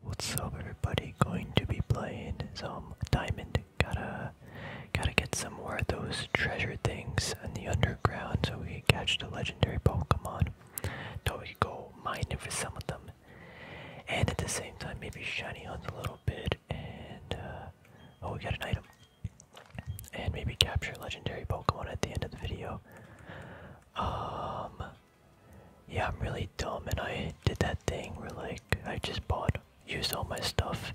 What's up everybody, going to be playing some diamond. Gotta gotta get some more of those treasure things in the underground so we can catch the legendary Pokemon. So we can go mining for some of them. And at the same time maybe shiny hunt a little bit and uh, oh we got an item. And maybe capture legendary Pokemon at the end of the video. Um yeah, I'm really dumb and I did that thing where like I just bought used all my stuff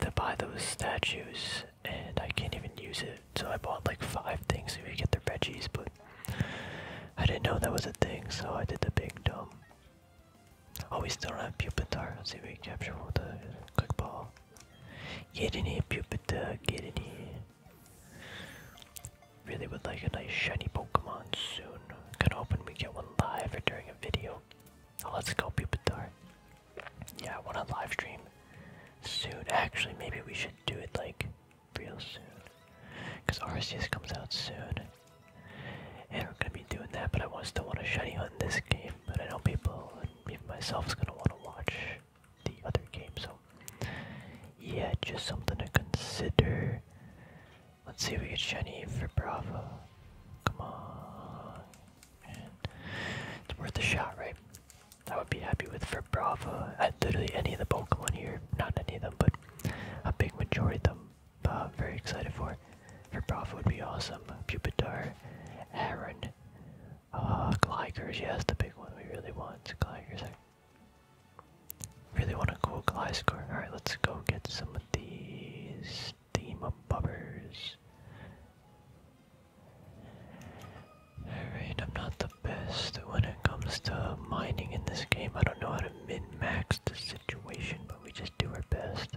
to buy those statues and I can't even use it. So I bought like five things to get the veggies, but I didn't know that was a thing, so I did the big dumb. Oh, we still have Pupitar. Let's see we can capture one with a quick ball. Get in here, Pupitar, get in here. Really would like a nice shiny Pokemon soon. Gonna hoping we get one live or during a video. Oh, let's go, Pupitar. Yeah, I want a live stream soon. Actually, maybe we should do it like real soon. Because Arceus comes out soon. And we're gonna be doing that, but I want, still want to shiny hunt this game. But I know people, and even myself, is gonna want to watch the other game, so yeah, just something to consider. Let's see if we get shiny for Bravo. Come on, It's worth a shot, right? I would be happy with for Bravo at literally any of the Pokemon here. Not any of them, but a big majority of them. Uh, very excited for. For Bravo would be awesome. Pupitar, Aaron, uh, Gligers, yes, the big one we really want. Gligers, Really want to go Gliscor. Alright, let's go get some of these Steam Bubbers. Alright, I'm not the best when it comes to mining in this game. I don't know how to min-max the situation, but we just do our best.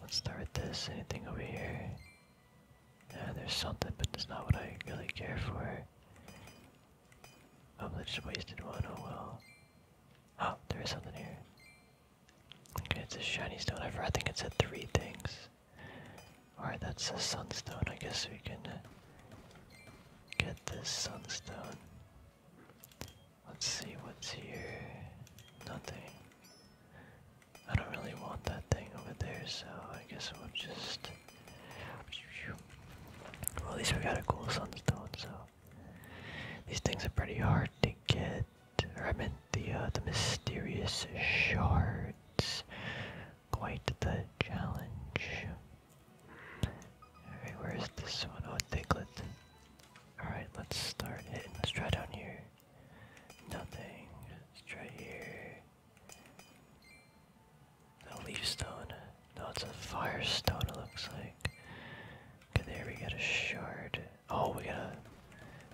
Let's start with this. Anything over here? Yeah, there's something, but it's not what I really care for. Oh, I just wasted one. Oh well. Oh, there is something here. Okay, it's a shiny stone. I, think it said three things. Alright, that's a sunstone. I guess we can uh, get this sunstone. Let's see what's here. Nothing. I don't really want that thing over there, so I guess we'll just well, at least we got a cool sunstone, so these things are pretty hard to get. Or I meant the uh, the mysterious shards. Quite the challenge. Alright, where's this one? Oh, Diglett. Alright, let's start it. Let's try down here. Nothing. Let's try here. A leaf stone. No, it's a fire stone it looks like. Okay, there we got a shard. Oh, we got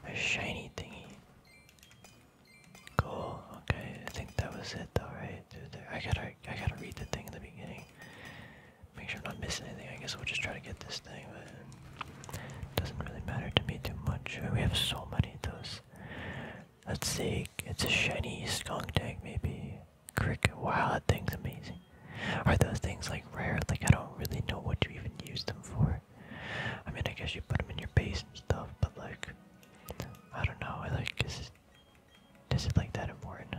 a, shiny thingy. Cool, okay, I think that was it though, right? Dude, there. I gotta I gotta read the thing in the beginning. Make sure I'm not missing anything. I guess we'll just try to get this thing, but it doesn't really matter to me too much. We have so many of those. Let's see. It's a shiny skunk tag, maybe. Cricket. Wow, that thing's amazing. Are those things like rare? Like, I don't really know what you even use them for. I mean, I guess you put them in your base and stuff, but like, I don't know. I like, is it like that important?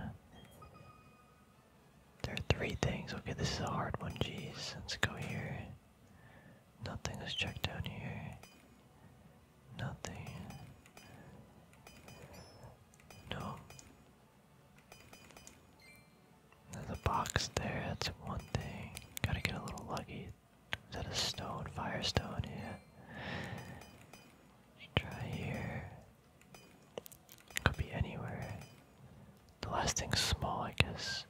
There are three things. Okay, this is a hard one. Jeez, let's go here. Nothing. is checked down here. Nothing. No. There's box there, that's one thing. Gotta get a little lucky. Is that a stone? Firestone, yeah. Try here. Could be anywhere. The last thing's small, I guess.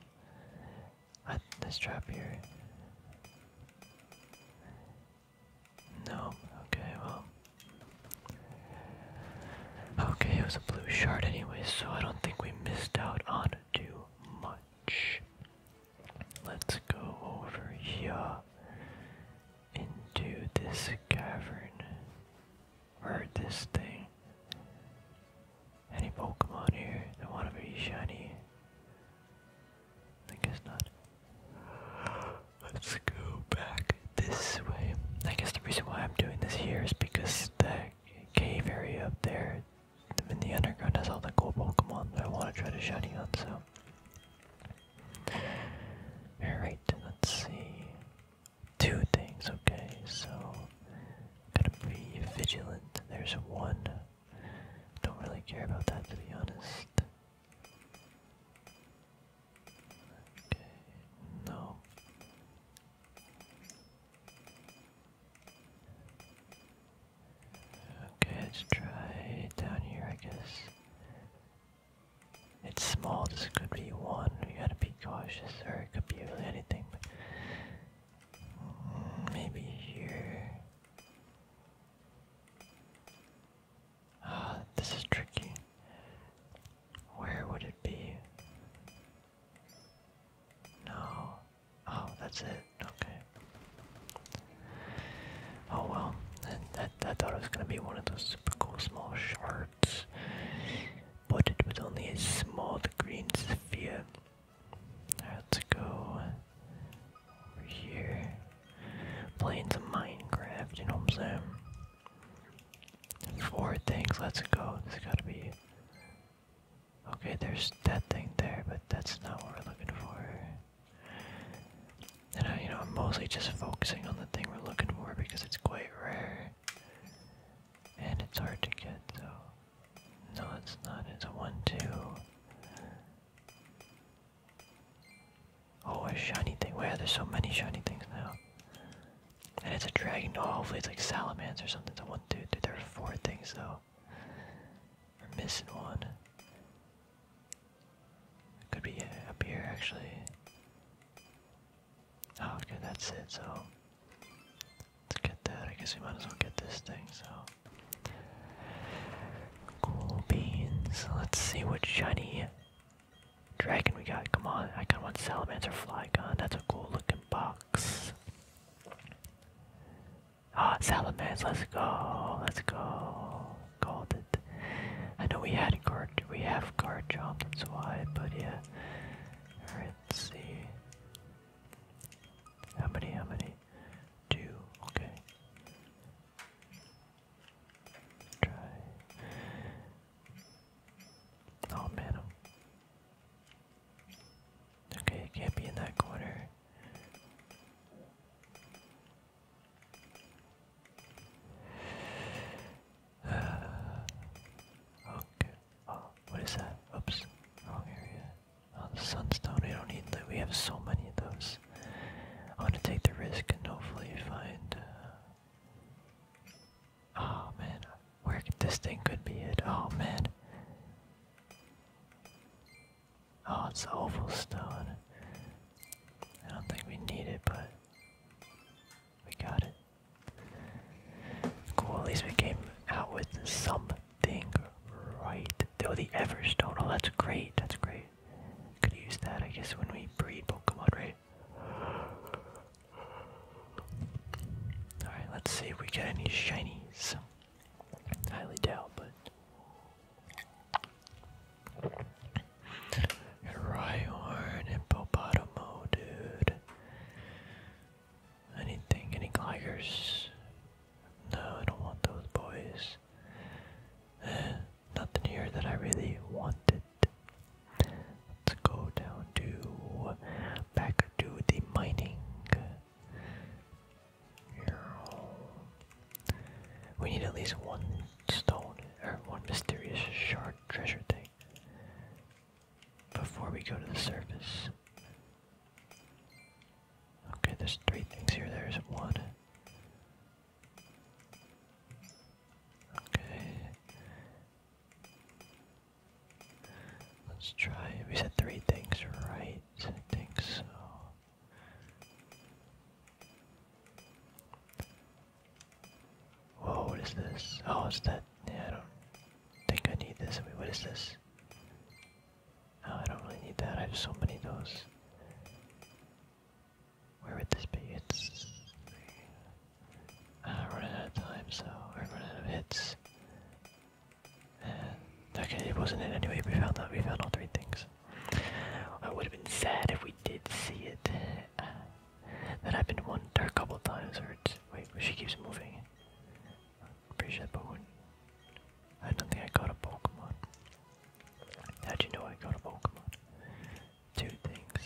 I, trap here. No, okay, well. Okay, it was a blue shard anyway, so I don't think we missed out on too much. Let's go over here into this cavern. Or this thing. Any Pokemon here that want to be shiny? I guess not. Let's go back this way. I guess the reason why I'm doing this here is because the cave area up there in the underground has all the cool Pokemon that I want to try to shiny on, so. Alright, let's see. Two things, okay, so. Gotta be vigilant. There's one don't really care about that to be honest. Okay, no. Okay, let's try down here, I guess. It's small, this could be one. We gotta be cautious, or it could be anything. Mm, maybe here. Ah, this is tricky. Where would it be? No. Oh, that's it. Okay. Oh well. I, thought it was gonna be one of those super cool small shards, but it was only a small green sphere. Let's go over here. Playing some Minecraft, you know what I'm saying? Four things, let's go. There's gotta be. Okay, there's that thing there, but that's not what we're looking for. And I, you know, I'm mostly just focusing on the thing we're looking for because it's quite rare. And it's hard to get, so. No, it's not. It's a 1 2. Oh, a shiny thing. Where there's so many shiny things now. And it's a dragon. Oh, hopefully it's like Salamans or something. So one dude. dude there are four things though. We're missing one. could be uh, up here actually. Oh, okay, that's it. So let's get that. I guess we might as well get this thing. So Cool beans. Let's see what shiny dragon we got. Come on, I got one salamander flygon. That's a cool looking box. Ah, oh, salamanders. Let's go. Let's go. Called it. I know we had guard. We have guard jump. That's why. But yeah. All right. Let's see. How many? How many? two, okay. Try. Oh man. Okay, can't be in that corner. okay. Oh, what is that? Oops. Wrong area. Oh, the sunstone, we don't need that. We have so many of those. I want to take the risk and hopefully find. Uh... Oh man, where could this thing could be it? Oh man. Oh, it's the oval stone. I don't think we need it, but we got it. Cool, at least we came out with some thing right. Though the Everstone. Oh, that's great. That's great. Could use that, I guess, when we breed Pokemon, right? Alright, let's see if we get any shinies. Highly doubt, but. Rhyhorn, Hippopotamo, dude. Anything, any Gligers? No, I don't want those boys. Eh, nothing here that I really wanted. Let's go down to back to the mining. We need at least one stone or one mysterious shard treasure thing before we go to the surface. Okay, there's three things here. There's one. Okay. Let's try. We said three things, right? I think so. Whoa, what is this? Oh, it's that. Yeah, I don't think I need this. I mean, what is this? I don't really need that. I have so many of those. Where would this be? It's. Ah, running out of time, so we're running out of hits. And okay, it wasn't it anyway. We found that we found all three things. Well, it would have been sad if we did see it. Uh, that happened one or a couple times. Or it's, wait, she keeps moving. I'm pretty I don't think I got a Pokemon. how do you know I got a Pokemon? Two things.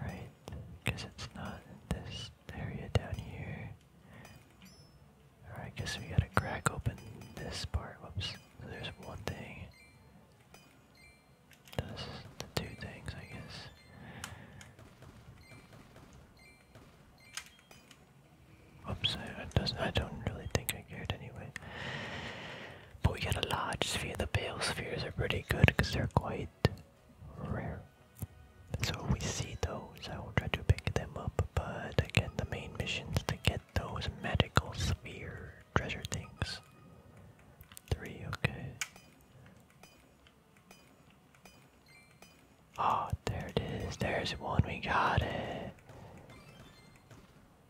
Alright, guess it's not this area down here. Alright, guess we gotta crack open this part. Whoops. there's one thing. Does the two things, I guess. Oops, I, don't really think I cared anyway. But we got a large sphere. The pale spheres are pretty good because they're quite rare. So we see those, I will try to pick them up, but again the main mission's to get those medical sphere treasure things. Three, okay. Oh, there it is. There's one. We got it.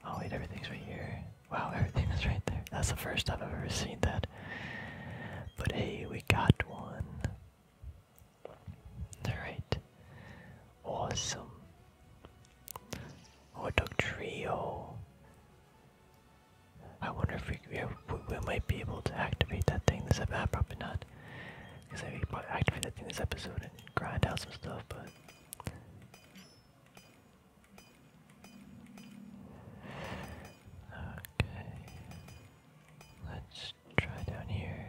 Oh, wait, everything's right here. Wow, everything is right there. That's the first time I've ever seen that. But hey, we got one. Alright. Awesome. Hot dog trio. I wonder if we, might be able to activate that thing this episode. Ah, probably not. Because I probably activate that thing this episode and grind out some stuff, but. Okay. Let's try down here.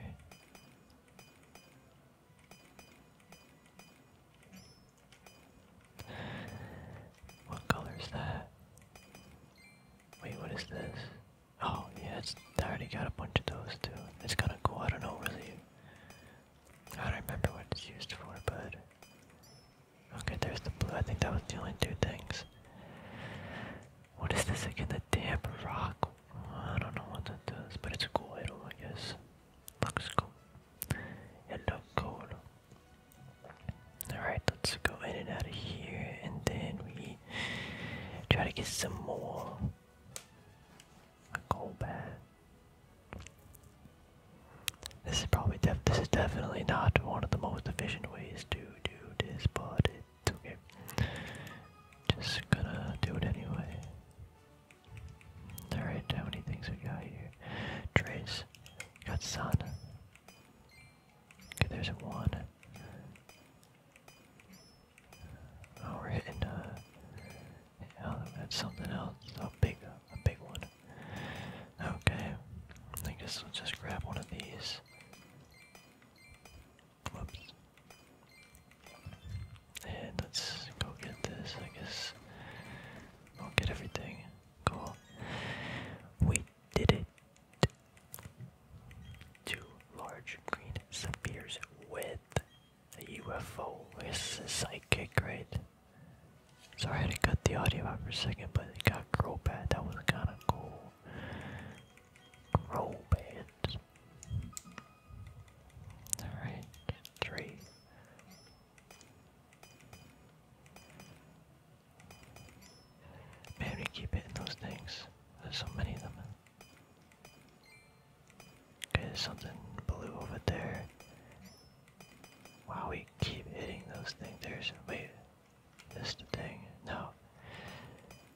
What color is that? Wait, what is this? Oh, yeah, it's, I already got a bunch of those too. It's kinda cool, I don't know really. I don't remember what it's used for, but... Okay, there's the blue, I think that was the only two things. What is this again? The damp rock? I don't know what that does, but it's a cool item, I guess. Looks cool. It looks cool. Alright, let's go in and out of here and then we try to get some more coal bad. This is probably def this is definitely not one of the most efficient ways to do this, but it's okay. Just gonna do it anyway. Alright, how many things we got here? Trace. Got sun. Okay, there's one. Oh, we're hitting uh yeah, oh, that's something else. A big a big one. Okay. I guess we'll just grab one of these. Whoops. And let's go get this, I guess. I'll get everything. Cool. We did it. Two large green spheres with a UFO. This is psychic, right? Sorry I had to cut the audio out for a second, but it got Crobat. That was kind of cool. Crobat. Alright, three, Maybe keep hitting those things. There's so many of them. Okay, there's something blue over there. Wow, we keep hitting those things. There's wait, this the thing? No.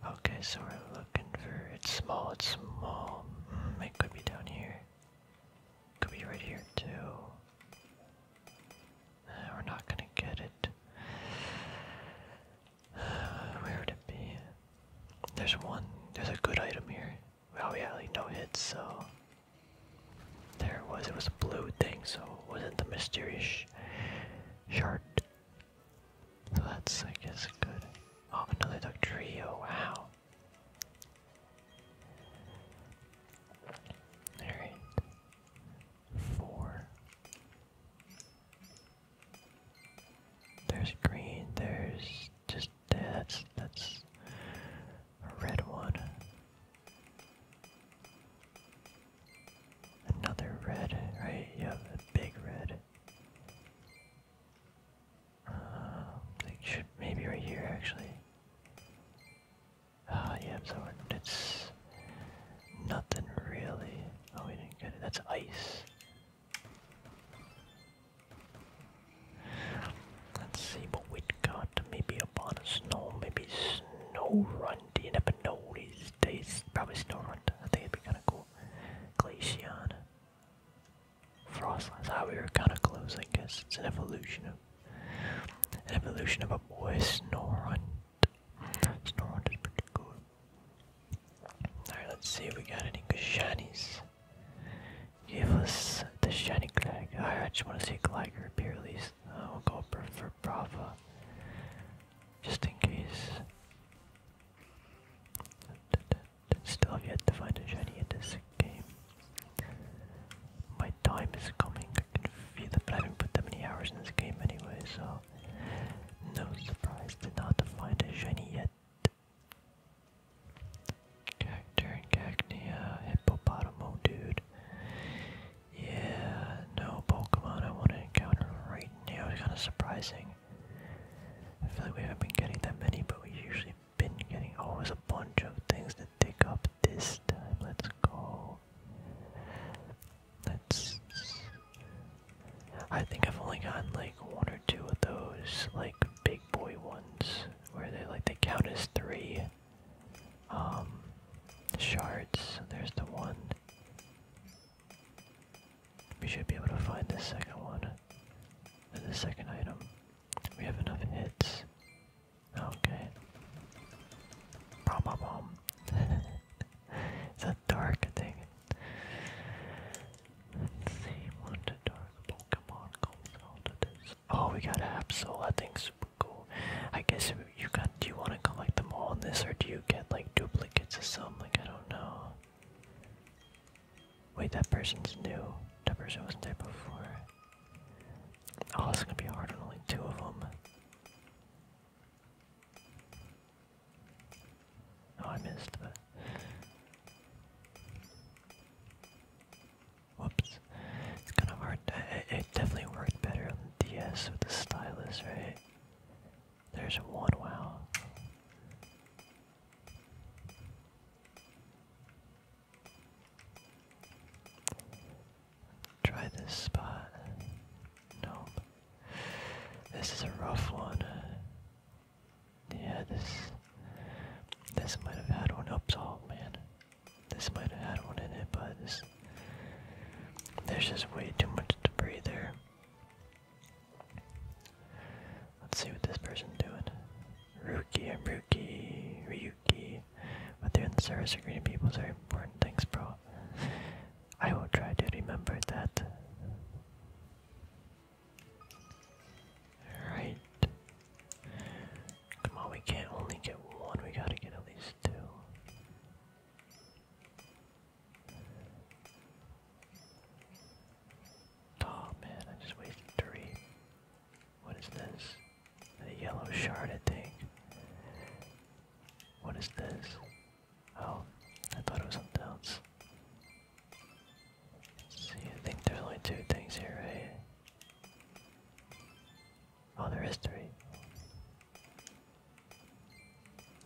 Okay, so we're looking for it's small. It's small. Mm, it could be down here. Could be right here too. we're not gonna get it. where would it be? There's one. There's a good item here. Oh yeah, like no hits, so. There it was. It was a blue thing, so it wasn't the mysterious sh shard. So that's, I guess, good. Oh, another duck trio. Oh, wow. Alright. Four. There's green, there's just that's that's a red one. Another red, right? You have a big red. Um, should maybe right here actually. Ah, yeah, so it's nothing really. Oh, we didn't get it. That's ice. Let's see what we got. Maybe a upon of snow, maybe snow run. Do you never know these days? Probably snow run. I think it'd be kind of cool. Glaceon. Frostlands. how ah, we were kind of close, I guess. It's an evolution of evolution of a boy Snorunt. Snorunt is pretty cool. Alright, let's see if we got any good shinies. Give us the shiny Clag. I just want to see Gligar appear at least. I uh, will go for, for Brava. Just in case. Still have yet to find a shiny in this game. My time is coming. I can feel it, but I haven't put that many hours in this game anyway, so no surprise to not find a shiny yet. Cacturne, Cacnea, Hippopotamo, dude. Yeah, no Pokemon I want to encounter right now. It's kind of surprising. I feel like we haven't been getting that many, but we usually been getting always a bunch of things to dig up this time. Let's go. Let's. I think I've only gotten like one or two of those, like big boy ones, where they like they count as three. Um, shards. There's the one. We should be able to find the second one. The second item. We have enough hits. Okay. Bomb bomb. it's a dark thing. Let's dark Pokemon comes out of this. Oh, we got Absol. I think super cool. I guess you got. Do you want to collect them all in this, or do you get like duplicates of some? Like I don't know. Wait, that person's new. That person wasn't there before. Oh, it's gonna be hard on only two of them. Oh, I missed, Whoops. It's kind of hard. it definitely worked better on the DS with the stylus, right? There's one wow. Try this spot. Nope. This is a rough one. Yeah, this this might have had one up top, oh, man. This might have had one in it, but there's just way too much debris there. Let's see what this person's doing. Ruki and Ruki, Ryuki, but they're in the service of greeting people is very important. things, bro. I will try to remember that. Alright. Come on, we can't only get one, we gotta get at least two. Oh man, I just wasted three. What is this? A yellow shard, I think. What is this? Oh, I thought it was something else. Let's see, I think there's only two things here, right? Oh, there is three.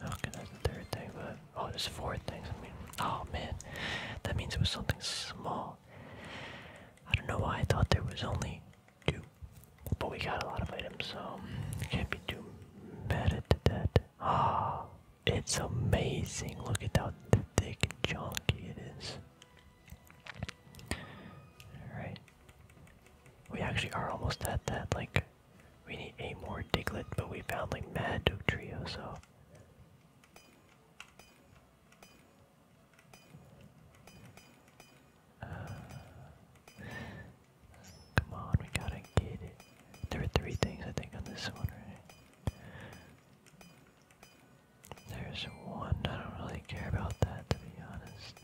Okay, that's the third thing, but oh, there's four things. I mean, oh man, that means it was something small. I don't know why I thought there was only two, but we got a lot of items, so um, can't be too mad at that. Ah, it's amazing. Look at how thick and chunky it is. Alright. We actually are almost at that, like, we need a more diglet, but we found like mad duke trio, so uh, come on, we gotta get it. There are three things I think on this one, right? There's one, I don't really care about that to be honest.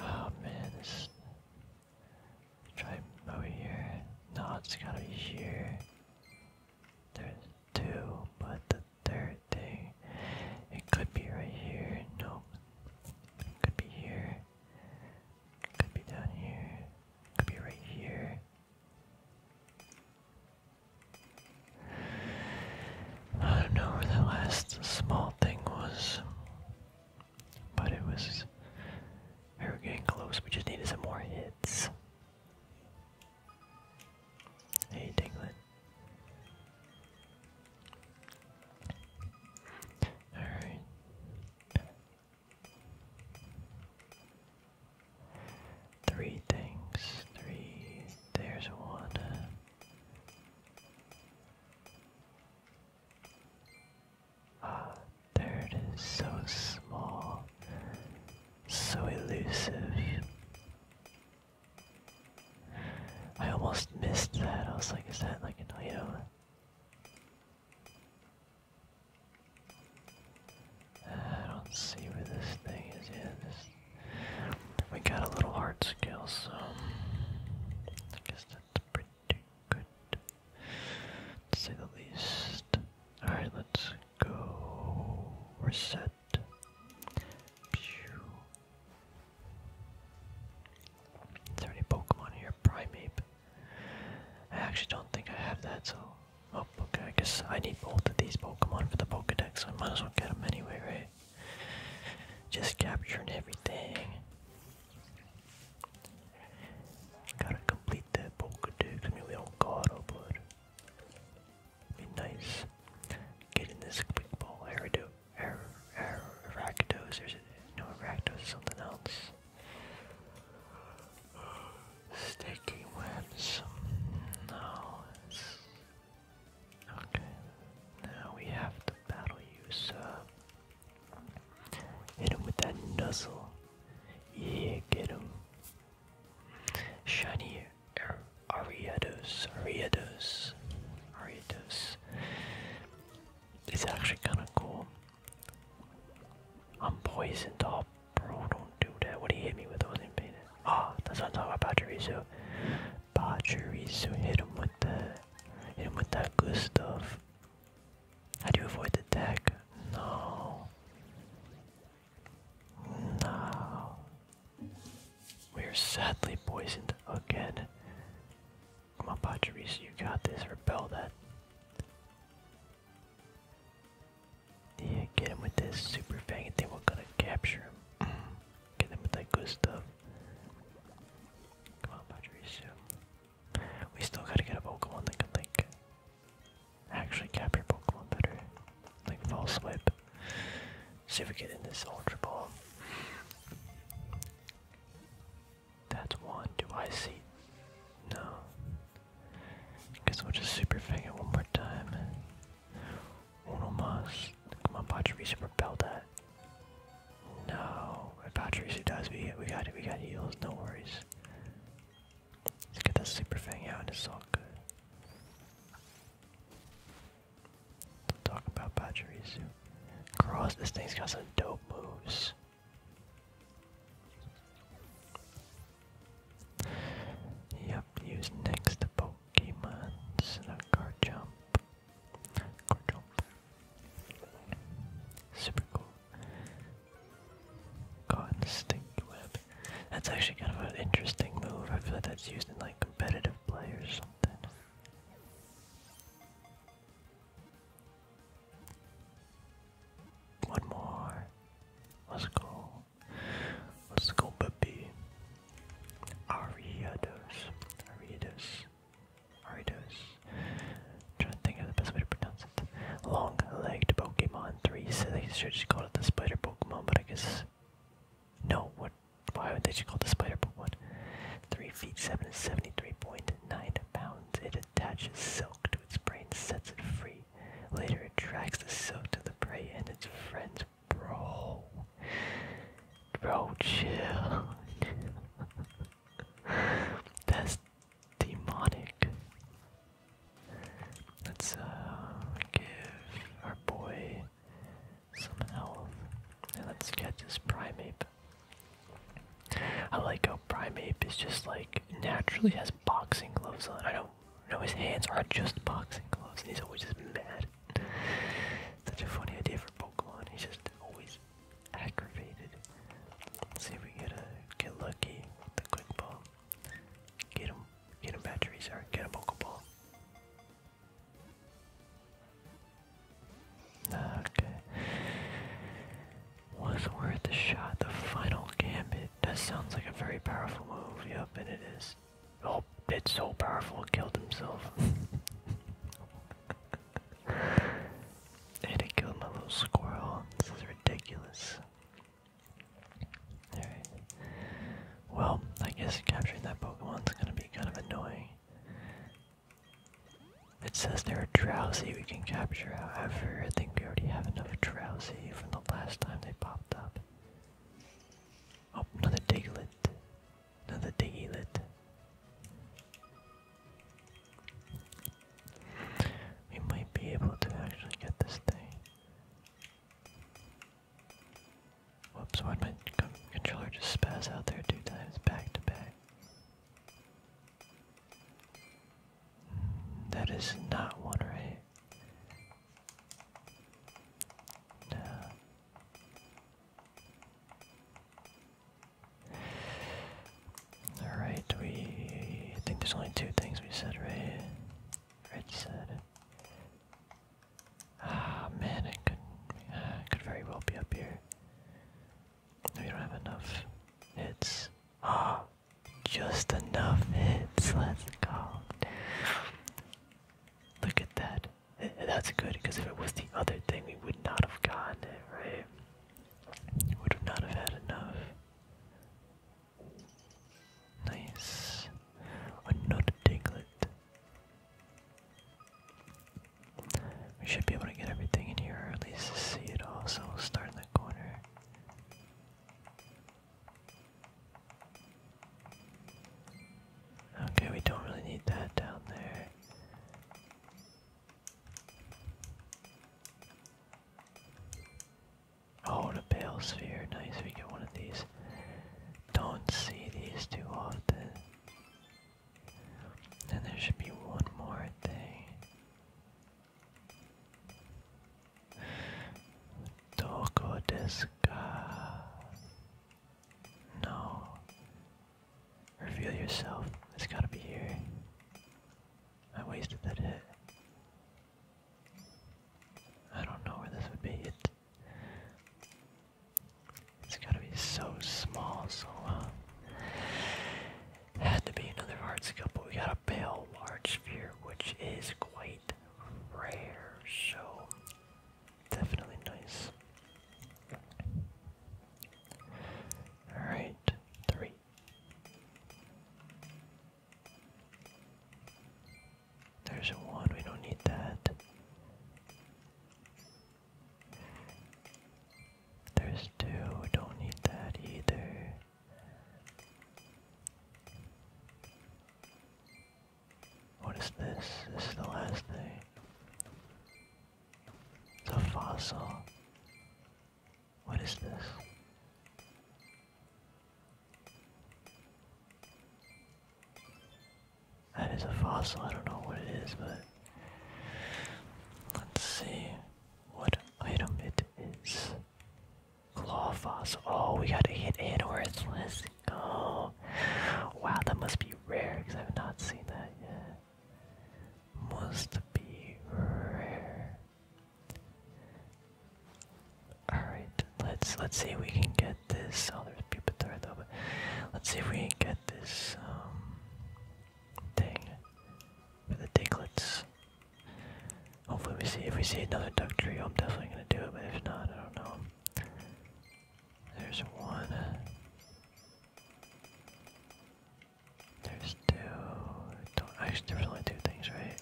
Oh man, this Try over here. No, it's gotta be here. There's two, but the third thing, it could be right here. Nope. could be here. could be down here. could be right here. I don't know where that last small thing was, but it was. We were getting close. We just needed some more hits. Hey, Dinglet. Alright. Three things. Three. There's one. Ah, there it is, so small, so elusive. I almost missed that. I was like, is that like an item? Ah, I don't see where this thing is We got a little hard skill, so doing good, say the least. Alright, let's go reset. Pew. Is there any Pokemon here? Primeape. I actually don't think I have that, so. Oh, okay, I guess I need both of these Pokemon for the Pokedex, so I might as well get them anyway, right? Just capturing everything. Gotta complete that Pokedex. I mean, we don't gotta, but be nice. Getting this quick ball. Arido, Ar Ar Arachdos. There's a, no Arachdos, something else. Sticky webs. No. It's, okay. Now we have to battle you, sir. Uh, Hit him with that nuzzle. Yeah, get him. Shiny Ariados. Ariados. Ariados. It's actually kind of cool. I'm poisoned. Oh, bro, don't do that. What do you hit me with? I Oh, that's what I'm talking about, Pachirisu. Pachirisu, hit him with the, hit him with that good stuff. How do you avoid the deck? No. No. We are sadly poisoned again. Come on, Pachirisu, you got this. Repel that. Yeah, get him with this super and then we're gonna capture him. get him with that good stuff. Come on, Pachirisu. We still gotta get a Pokemon that can like actually cap your Pokemon better. Like false whip. See if we get in this ultra ball. That's one. Do I see? No. Guess we'll just super fang it one more time. Uno mas. Come on, Patrick, we that. No no, if Patricio does, we we got it. We got heals. No worries. Let's get that super fang out, and it's talk about Pachirisu. Cross. This thing's got some dope moves. Yep. Use next Pokemon. Instead jump. Super cool. Cotton stink web. That's actually kind of an interesting move. I feel like that's used in like competitive play or something. One more. Let's go. Let's go, baby. Ariados. Ariados. Aridos. trying to think of the best way to pronounce it. Long-legged Pokemon 3. So they should just call it the Spider Pokemon, but I guess no. What? Why would they just call it the Spider Pokemon? Three feet seven pounds. It attaches silk to its brain, sets it free. Later, it tracks the silk to the prey and its friends. Bro, bro, chill. That's demonic. Let's uh give our boy some health. And let's get this Primeape. I like how Primeape is just like naturally has boxing gloves on. I don't know his hands are just boxing gloves and he's always just mad. Such a funny idea for Pokemon. He's just always aggravated. Let's see if we get a get lucky with the quick ball. Get him, get him batteries or get a pokeball. Okay, was worth the shot. The final gambit. That sounds like a very powerful move. Yep, and it is. Oh, it's so powerful. killed himself. I had to kill my little squirrel. This is ridiculous. Well, I guess capturing that Pokemon is gonna be kind of annoying. It says they are drowsy we can capture, however, I think we already have enough drowsy from the last time they popped up. Oh, another diglet. Another diglet. We might be able to actually get this thing. Whoops, why'd my controller just spaz out there two times back to back? Mm, that is not one, right? No. Alright, we think there's only two things we said, right? Red said. Ah man, ah, it could very well be up here. We don't have enough hits. Ah, oh, just enough hits. Let's go. Look at that. That's good because if it was the other thing, we would not have gotten it, right? Would not have had enough. Nice. Another Diglett. We should be able to get everything in here, at least see it all, so we'll start in the corner. Okay, we don't really need that down there. Oh, the a pale sphere. Nice, we get one of these. Don't see these too often. Then there should be one more thing. Doko desu No. Reveal yourself. It's gotta be here. I wasted that hit. I don't know where this would be. It, it's gotta be so small, so uh, had to be another hard skill, but we got a pale large sphere, which is quite rare, so definitely nice. Alright, three. There's one, we don't need that. There's two, we don't need that either. What is this? This is the last thing. It's a fossil. What is this? That is a fossil. I don't know what it is, but let's see what item it is. Claw fossil. Oh, we got to hit Anworth. Let's go. Wow, that must be rare because I've not seen that yet must be rare. Alright, let's let's see if we can get this. Oh there's Pupitar though, let's see if we can get this um for the Diglets. Hopefully we see if we see another duck tree. I'm definitely gonna do it, but if not, I don't know. There's one. There's two. Don't, only two things, right?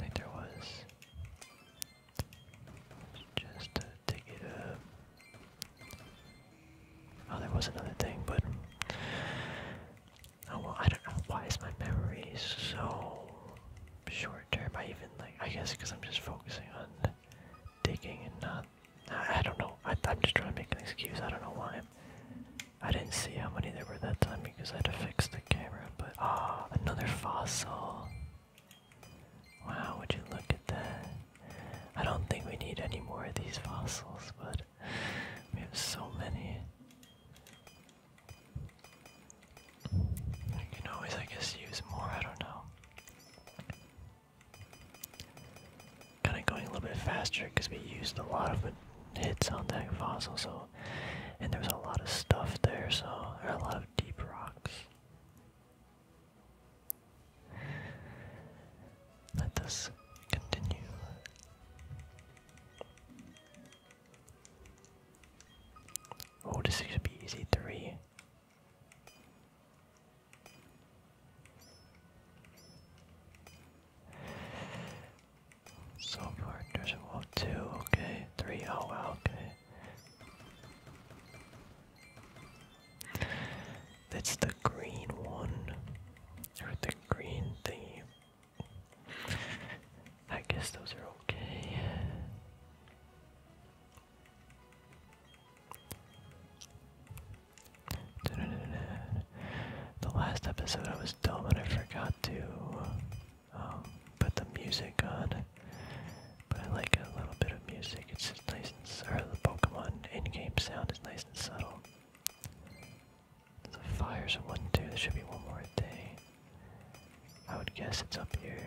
I there was. Just to dig Oh, there was another thing, but oh well. I don't know why is my memory so short term. I even like I guess because I'm just focusing on digging and not I, don't know. I, am just trying to make an excuse. I don't know why. I didn't see how many there were that time because I had to fix the camera. But ah, oh, another fossil. Wow, would you look at that? I don't think we need any more of these fossils, but we have so many. You can always, I guess, use more. I don't know. Kind of going a little bit faster because we used a lot of hits on that fossil, so and there's a lot of stuff there, so there are a lot of deep rocks. Let this continue. Oh, this should be easy three. So far, there's a two, okay, three, oh wow, okay. That's the green one, or the green thingy. I guess those are okay. The last episode I was dumb and I forgot to um, put the music on. But I like a little bit of music. It's just nice and or the Pokemon in-game sound is nice and subtle. The fire's one too. There should be one more day. I would guess it's up here.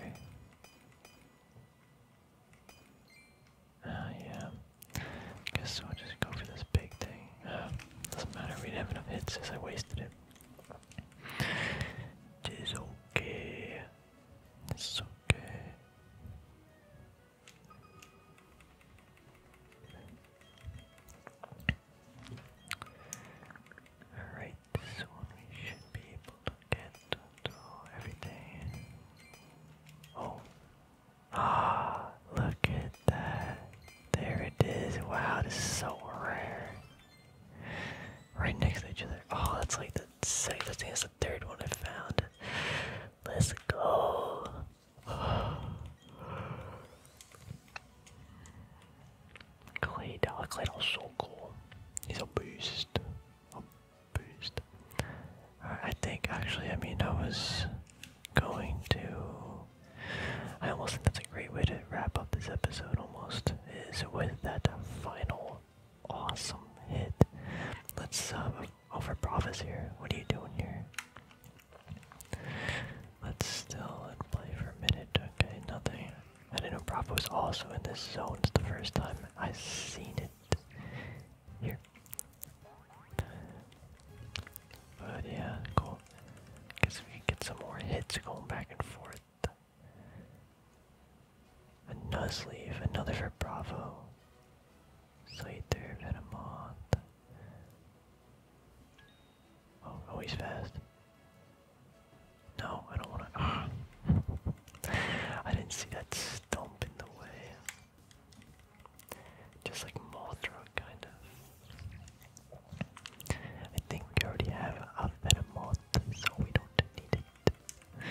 Ah, yeah. Guess I'll just go for this big thing. Ah, doesn't matter. We didn't have enough hits, as I wasted it. It's okay. It's okay. Alright, this one we should be able to get to everything. Oh. Ah, look at that. There it is. Wow, this is so rare. Right next to each other. Oh, that's like the second, I that's the third one I found. Let's go. Clay Claydol, Claydol's so cool. He's a beast boost. I think actually, I mean, I was going to. I almost think that's a great way to wrap up this episode. Almost is with that final awesome hit. Let's uh, um, over Bravo's here. What are you doing here? Let's still and play for a minute. Okay, nothing. I didn't know Bravo's also in this zone. It's the first time I've seen it. Here here. But yeah, cool. Guess we get some more hits going back and forth. A Nuzleaf, another for Bravo. Slater, Venomoth. Oh, oh, he's fast. No, I don't want to. I didn't see that stump in the way. Just like Mothra, kind of. I think we already have a moth, so we don't need it.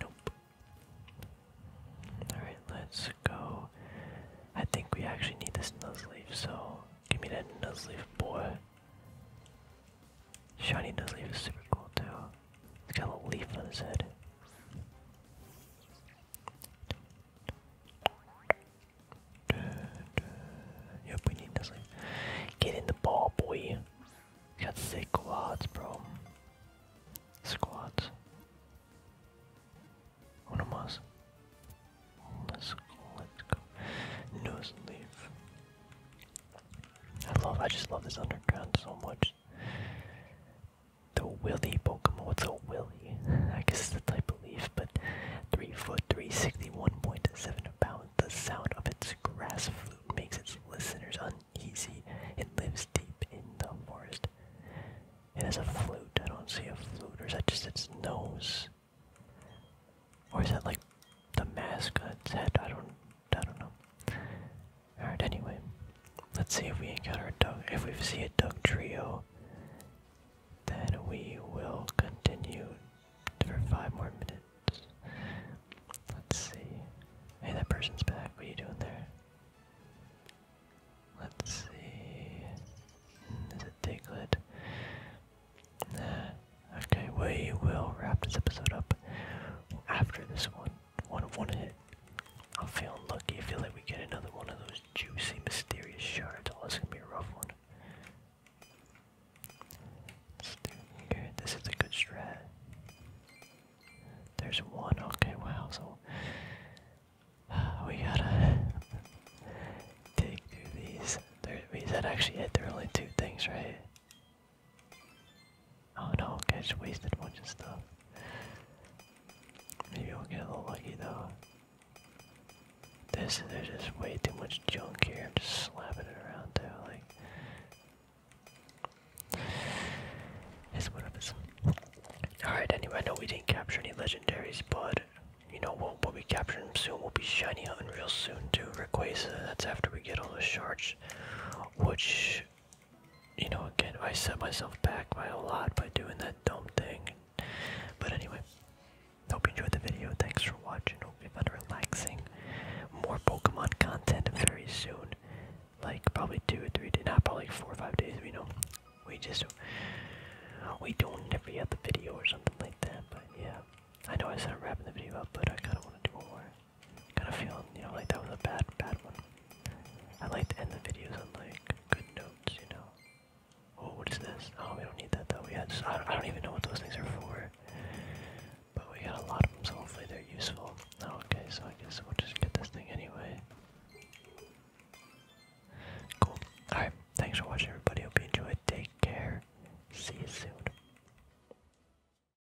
Nope. Alright, let's go. I think we actually need this Nuzleaf, so give me that Nuzleaf, boy. Shiny Nuzleaf is super cool, too got a leaf on his head. Yep, we need this. Get in the ball, boy. Got sick quads, bro. Squads. Uno más. Let's go, let's go. Nose leaf. I love, I just love this underground so much. The Willy Pokemon. a Willy? I guess it's a type of leaf, but 3 foot 361.7 pounds. The sound of its grass flute makes its listeners uneasy. It lives deep in the forest. It has a flute. I don't see a flute. Or is that just its nose? Or is that like the mascot's head? I don't I don't know. Alright, anyway. Let's see if we encounter a dog. If we see a dog trio, then we will continue for five more minutes. Let's see. Hey, that person's back. What are you doing there? Let's see. Is it Diglett? Okay, we will wrap this episode up after this one. One one hit. I'm feeling lucky. I feel like we get another one of those juicy, mysterious shards. Oh, this gonna be a rough one. let This is a good strat. There's one. Okay, wow. So we gotta dig through these. There, that actually hit. There are only two things, right? Oh no, I just wasted a bunch of stuff. Maybe we'll get a little lucky though. This there's just way too much junk here. I'm just slapping it around too, like it's what it is. Alright, anyway, I know we didn't capture any legendaries, but you know we'll, we'll be capturing them soon. We'll be shiny hunting real soon too. Rayquaza, that's after we get all the shards. Which you know, again, I set myself back by a lot by doing that dumb thing. But anyway, hope you enjoyed the video. Thanks for watching. Hope you found it relaxing. More Pokemon content very soon. Like probably two or three days, not probably like four or five days. You know we just we don't every other video or something like that. But yeah, I know I said I'm wrapping the video up, but I kind of want to do more kind of feeling, you know, like that was a bad, bad one. I like to end the videos on like good notes, you know. Oh, what is this? Oh, we don't need that though. We had, so I, don't, even know what those things are for. But we got a lot of them, so hopefully they're useful. Oh, okay, so I guess we'll just get this thing anyway. Cool. Alright, thanks for watching everybody. Hope you enjoyed. Take care. See you soon.